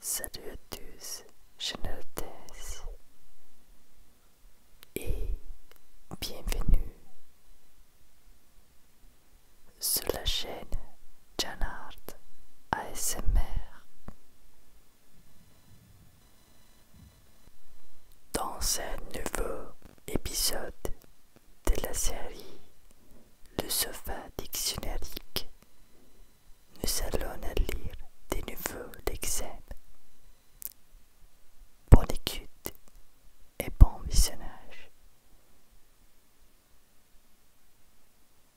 Salut à tous, je et bienvenue sur la chaîne Janard ASMR. Dans ce nouveau épisode de la série Le sofa Dictionnaire, nous allons lire des nouveaux lexèmes. Bonne écoute et bon visionnage.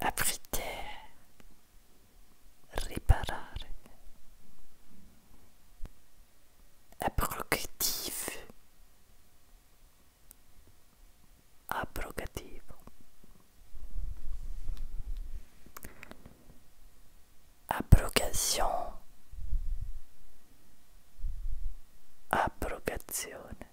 aprite, riparare, abrogative, abrogativo, abrogation, abrogazione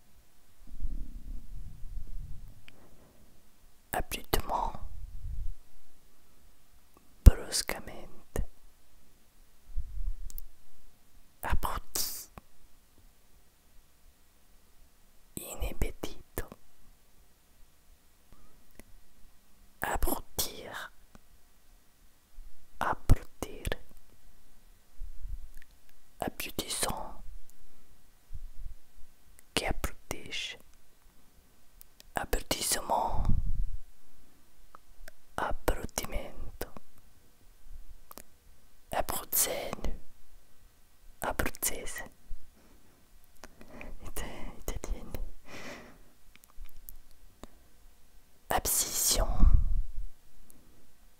abruptement, bruscamente, abruti, inebetito, abrutir, abrutir, qui abutissement. abrutige, abrutissement, abutissement. abscission,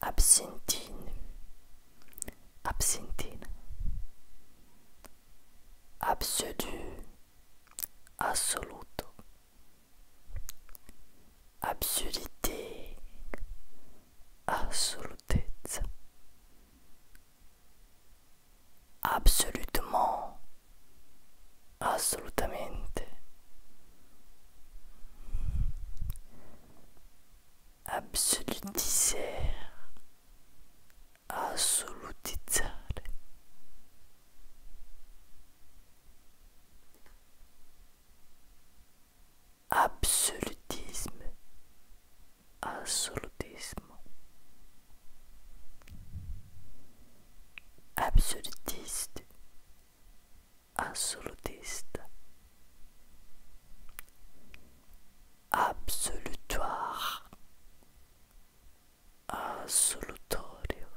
absintine, absintine, absolu, assoluto, absurdité, Absolute absolument, assolutamente, absolutizzare, assolutizzare. Absolutisme, absolutisme, absolutiste, Absolutiste. Absolutoire. Assolutorio.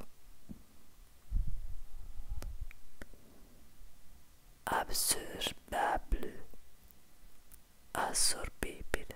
Absorbable. Assorbibile.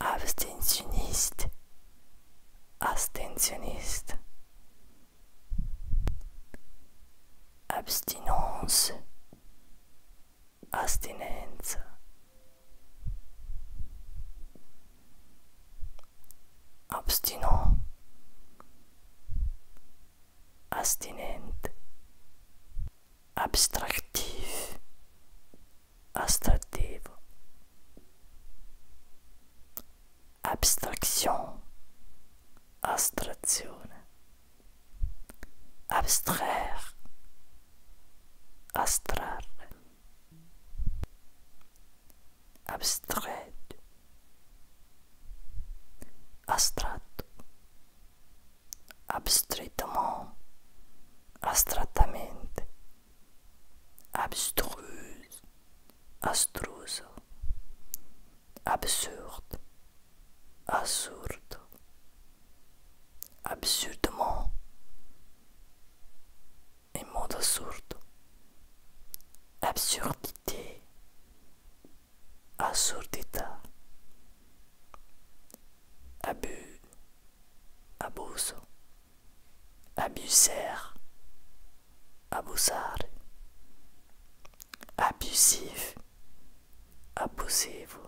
abstentionniste, abstentionniste, abstinence, abstinence abstinent, abstinent abstractif, astrattivo, abstraction, astrazione, abstraire, astrarre, abstraire, astratto, abstrattamente, astrattamente. abstruse, astruse, absurde, assurde, absurdement, et absurde, absurdité, absurdité, abus, abuso, ABUSER abusar, abusif, abusivo,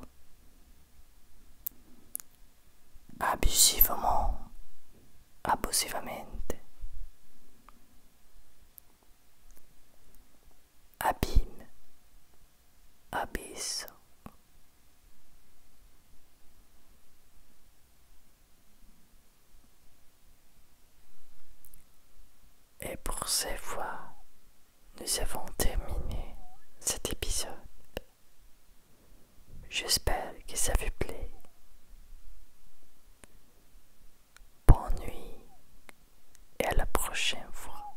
abusivement, abusivamente, abîme, Abyss Et pour cette fois, nous avons terminé cet épisode. J'espère que ça vous plaît. Bonne nuit et à la prochaine fois.